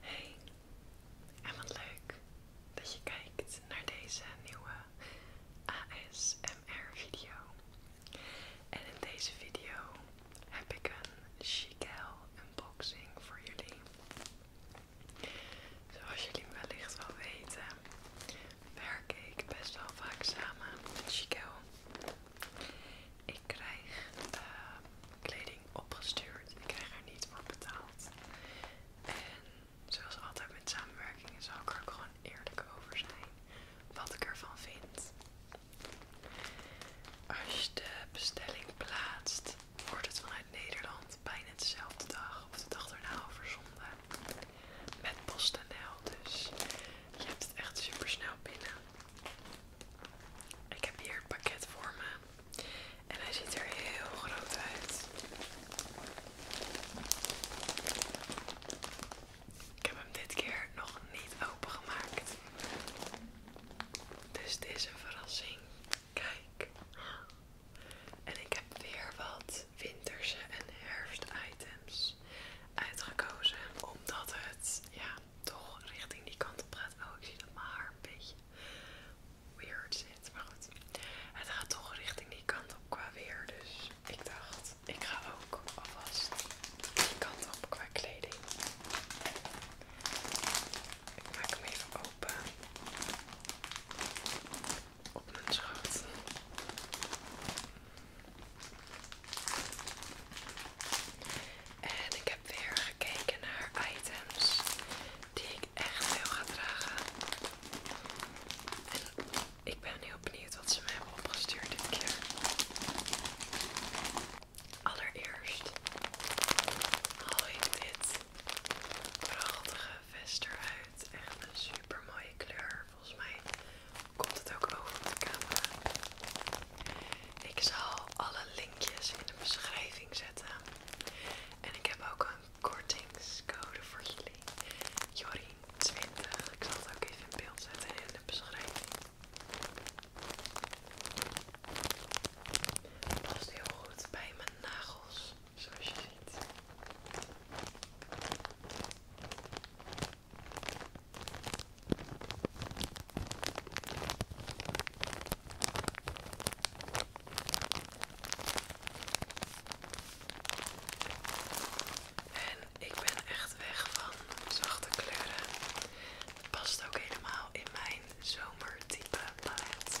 Hey, en wat leuk dat je kijkt naar deze nieuwe ASMR video. En in deze video heb ik een Chiquel unboxing voor jullie. Zoals jullie wellicht wel weten, werk ik best wel vaak samen met Chiquel ik krijg eh, kleding opgestuurd. Ik krijg er niet voor betaald. En zoals altijd met samenwerkingen zal ik er ook gewoon eerlijk over zijn. Wat ik ervan vind. Als je de bestelling plaatst, wordt het vanuit Nederland bijna dezelfde dag of de dag erna verzonden Met PostNL dus. Je hebt het echt super snel binnen. Ik heb hier het pakket voor me. En hij ziet er heel groot uit. Ik heb hem dit keer nog niet opengemaakt. Dus dit is een verrassing. Kijk. En ik heb weer wat winterse en herfst-items uitgekozen. Omdat het, ja, toch richting die kant op gaat. Oh, ik zie dat mijn haar een beetje weird zit. Maar goed, het gaat toch richting die kant op qua weer. Dus ik dacht, ik ga ook alvast die kant op qua kleding. Ik maak hem even open. Op mijn schoot. En ik heb weer gekeken naar items die ik echt veel ga dragen. En ik ben heel benieuwd wat ze me hebben opgestuurd dit keer. Allereerst haal ik dit prachtige vest eruit. Echt een super mooie kleur. Volgens mij komt het ook over op de camera. Ik zal alle in de beschrijving zetten. En ik heb ook een kortingscode voor jullie. Jorien20. Ik zal het ook even in beeld zetten in de beschrijving. Past heel goed bij mijn nagels, zoals je ziet. En ik ben echt weg van zachte kleuren. past ook helemaal in mijn zomertype palet.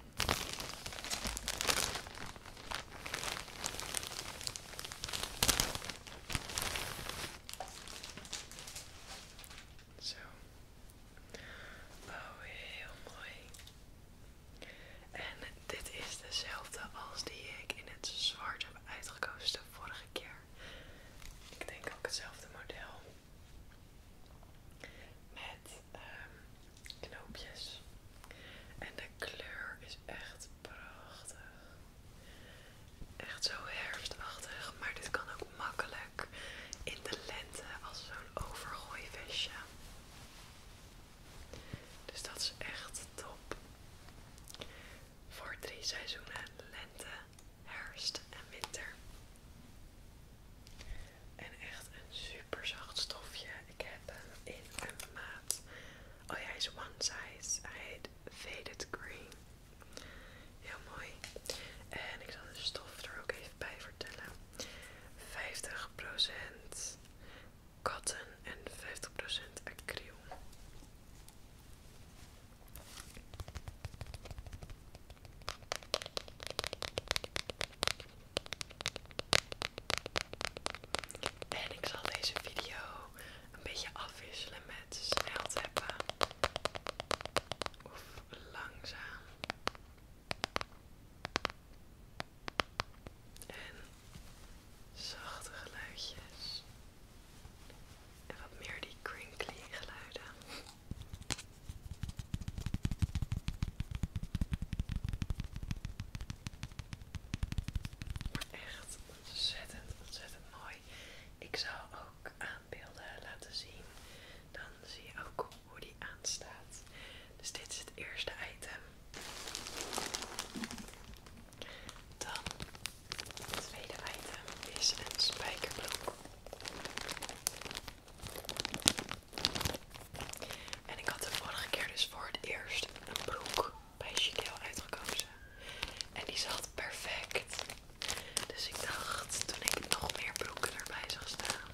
Zo. Oh, heel mooi. En dit is dezelfde als die ik in het zwart heb uitgekozen de vorige keer. Ik denk ook hetzelfde model. Met Ehm, knoopjes. En de kleur is echt prachtig. Echt zo herfstachtig, maar dit kan ook makkelijk in de lente als zo'n overgooi vestje. Dus dat is echt top. Voor drie seizoenen: lente, herfst en winter. En echt een super zacht stofje. Ik heb hem in een maat. Oh ja, hij is one size. Hij heet Faded Green. Heel mooi. En ik zal de stof er ook even bij vertellen. 50% cotton en 50% acryl. En ik zal deze video een beetje afwisselen met snel teppen. of langzaam. En zachte geluidjes. En wat meer die crinkly geluiden echt ontzettend, ontzettend mooi. Ik zal ook aanbeelden laten zien. Dan zie je ook hoe die aanstaat. Dus dit is het eerste item. Dan het tweede item is een spijkerbroek. En ik had de vorige keer dus voor het eerst een broek bij Chiquel uitgekozen. En die zat perfect. Dus ik dacht, toen ik nog meer broeken erbij zag staan,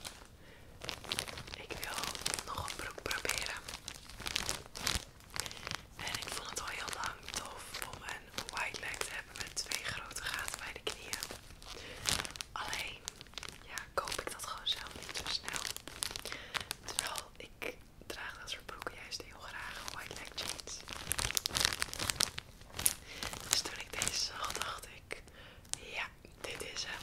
ik wil nog een broek proberen. En ik vond het al heel lang tof om een wide leg te hebben met twee grote gaten bij de knieën. Alleen ja, koop ik dat gewoon zelf niet zo snel. Terwijl ik draag dat soort broeken juist heel graag, white leg jeans. Dus toen ik deze zag, dacht ik, ja, dit is hem.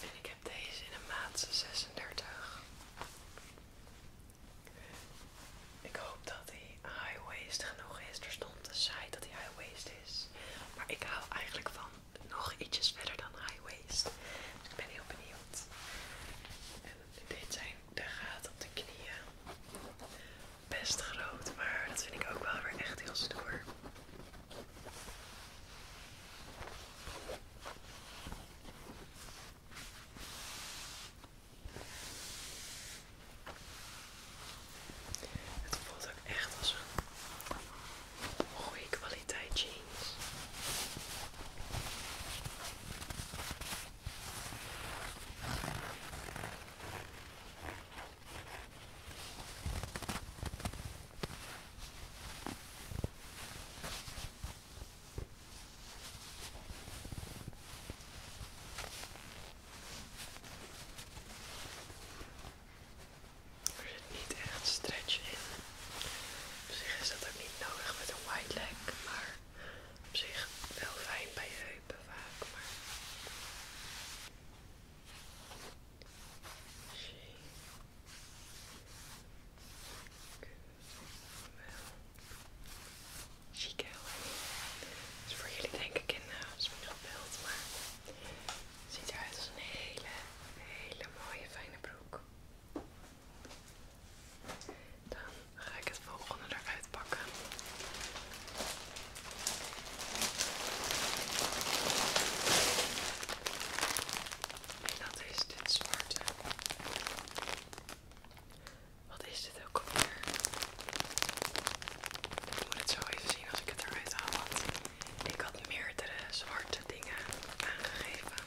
En ik heb deze in een maat 36. Ik hoop dat hij high-waist genoeg is. Er stond de site dat hij high-waist is. Maar ik hou eigenlijk van nog ietsjes verder dan high-waist. Dus ik ben heel benieuwd. En dit zijn de gaten op de knieën. Best groot, maar dat vind ik ook wel weer echt heel stoer. Het voelt ook echt als een goede kwaliteit jeans. Er zit niet echt stretch in. Op zich is dat ook niet nodig met een wide leg, maar op zich wel fijn bij je heupen vaak. Maar... Chic, heel Dus voor jullie denk ik in als eh, beeld, maar ziet eruit als een hele, hele mooie fijne broek. Dan ga ik het volgende eruit pakken. En dat is dit zwarte. Wat is dit ook alweer? Ik moet het zo even zien als ik het eruit haal. ik had meerdere zwarte dingen aangegeven.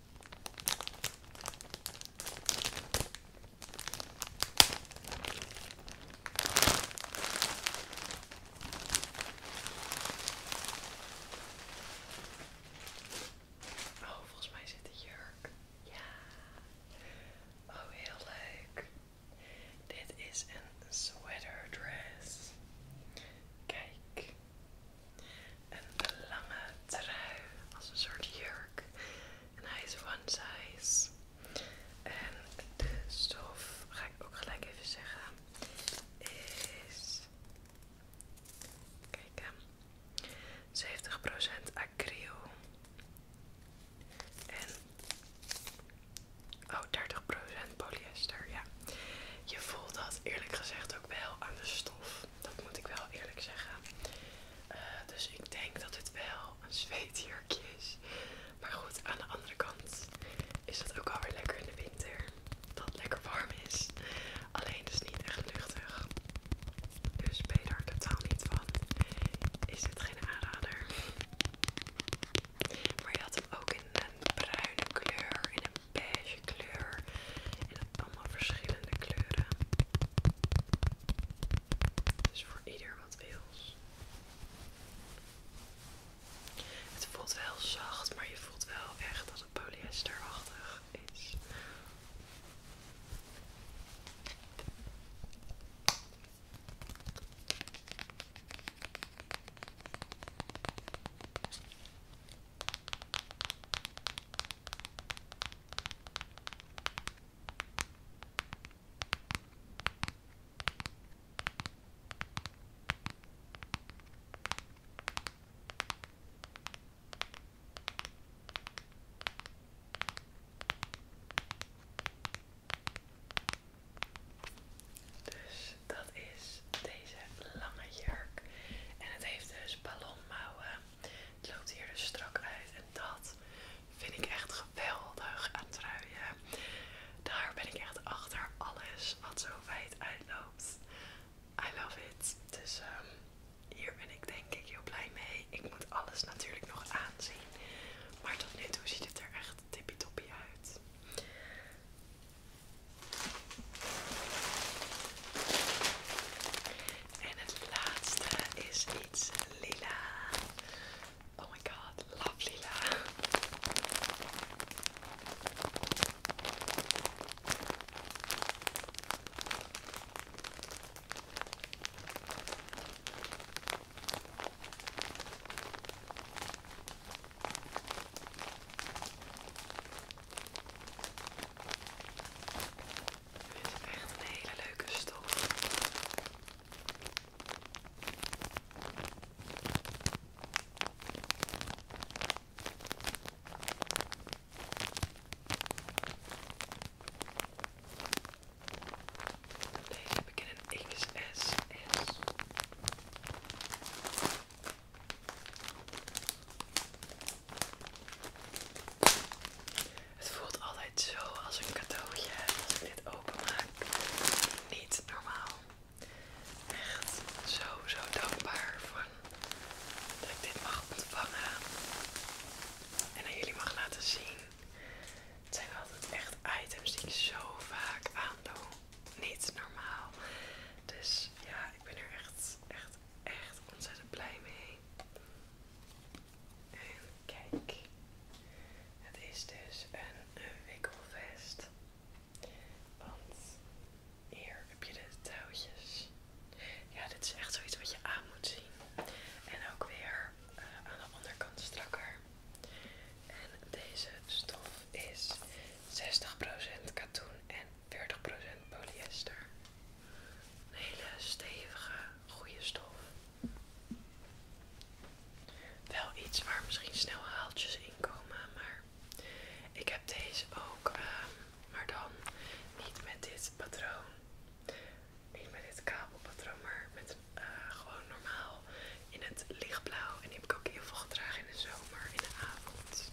Oh, volgens mij zit de jurk. Ja. Oh, heel leuk. Dit is een sweater dress. Kijk. Een lange trui als een soort jurk. En hij is one size. En de stof, ga ik ook gelijk even zeggen, is... Kijk, 70% acryl. En... Oh, 30% polyester, ja. Je voelt dat eerlijk gezegd ook wel aan de stof. Dat moet ik wel eerlijk zeggen. Eh, dus ik denk dat het wel een zweetjurkje is. Maar goed, aan de andere kant is dat ook alweer lekker in de winter. Dat het lekker warm is. Alleen dus niet echt luchtig. Dus ben je daar totaal niet van. Is dit geen aanrader. Maar je had hem ook in een bruine kleur, in een beige kleur. En dat allemaal verschillende kleuren. Dus voor ieder wat wils. Het voelt wel zacht, maar je voelt wel echt dat het polyesterachtig is. Dus dat is dus deze lange jurk. En het heeft dus ballonmouwen. Het loopt hier dus strak uit. En dat vind ik echt geweldig aan truien. Daar ben ik echt achter alles wat zo wijd uitloopt. I love it. Dus ehm, hier ben ik denk ik heel blij mee. Ik moet alles natuurlijk nog aanzien. Maar tot nu toe ziet het er echt tippy toppie uit. En het laatste is iets lila. Oh my god, love lila. Dit is echt een hele leuke stof. Deze heb ik in een XSS. Het voelt altijd zo als een cadeautje als ik dit openmaak. Niet normaal. Echt zo, zo dankbaar van dat ik dit mag ontvangen en aan jullie mag laten zien. Het zijn altijd echt items die ik zo vaak aandoe niet normaal. Dus ja, ik ben er echt, echt, echt ontzettend blij mee. En kijk, het is dus een wikkelvest. Want hier heb je de touwtjes. Ja, dit is echt zoiets wat je aan moet zien. En ook weer eh, aan de onderkant strakker. En deze stof is 60% katoen en 40% polyester. Een hele stevige, goede stof. Wel iets waar misschien snel haaltjes in komen, maar ik heb deze ook, ehm, maar dan niet met dit patroon. Niet met dit kabelpatroon, maar met eh, gewoon normaal in het lichtblauw. En die heb ik ook heel veel gedragen in de zomer, in de avond.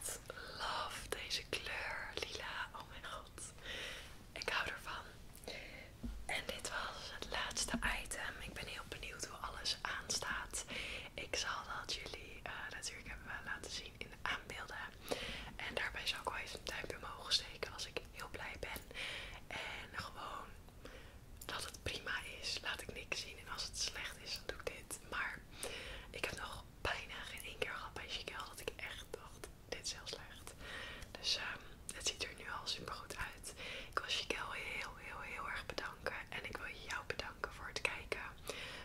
Echt love deze kleur, lila. Oh mijn god. Ik hou ervan. En dit was het laatste item. Ik ben heel benieuwd hoe alles aanstaat. Ik zal dat jullie eh, natuurlijk hebben laten zien in de aanbeelden. En daarbij zal ik wel eens een duimpje omhoog steken als ik heel blij ben. En gewoon dat het prima is. Laat ik niks zien. En als het slecht is, dan doe ik dit. Maar ik heb nog bijna geen één keer gehad bij Chiquel dat ik echt dacht... Dit is heel slecht. Dus ehm, het ziet er nu al super goed uit. Ik wil Chiquel heel, heel, heel erg bedanken. En ik wil jou bedanken voor het kijken.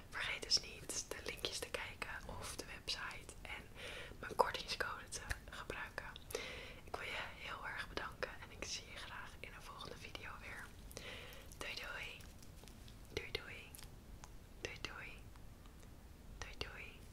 Vergeet dus niet de linkjes te kijken of de website en mijn kortingscode te gebruiken. Ik wil je heel erg bedanken en ik zie je graag in een volgende video weer. Doei doei. Doei doei. Doei doei. Doei doei.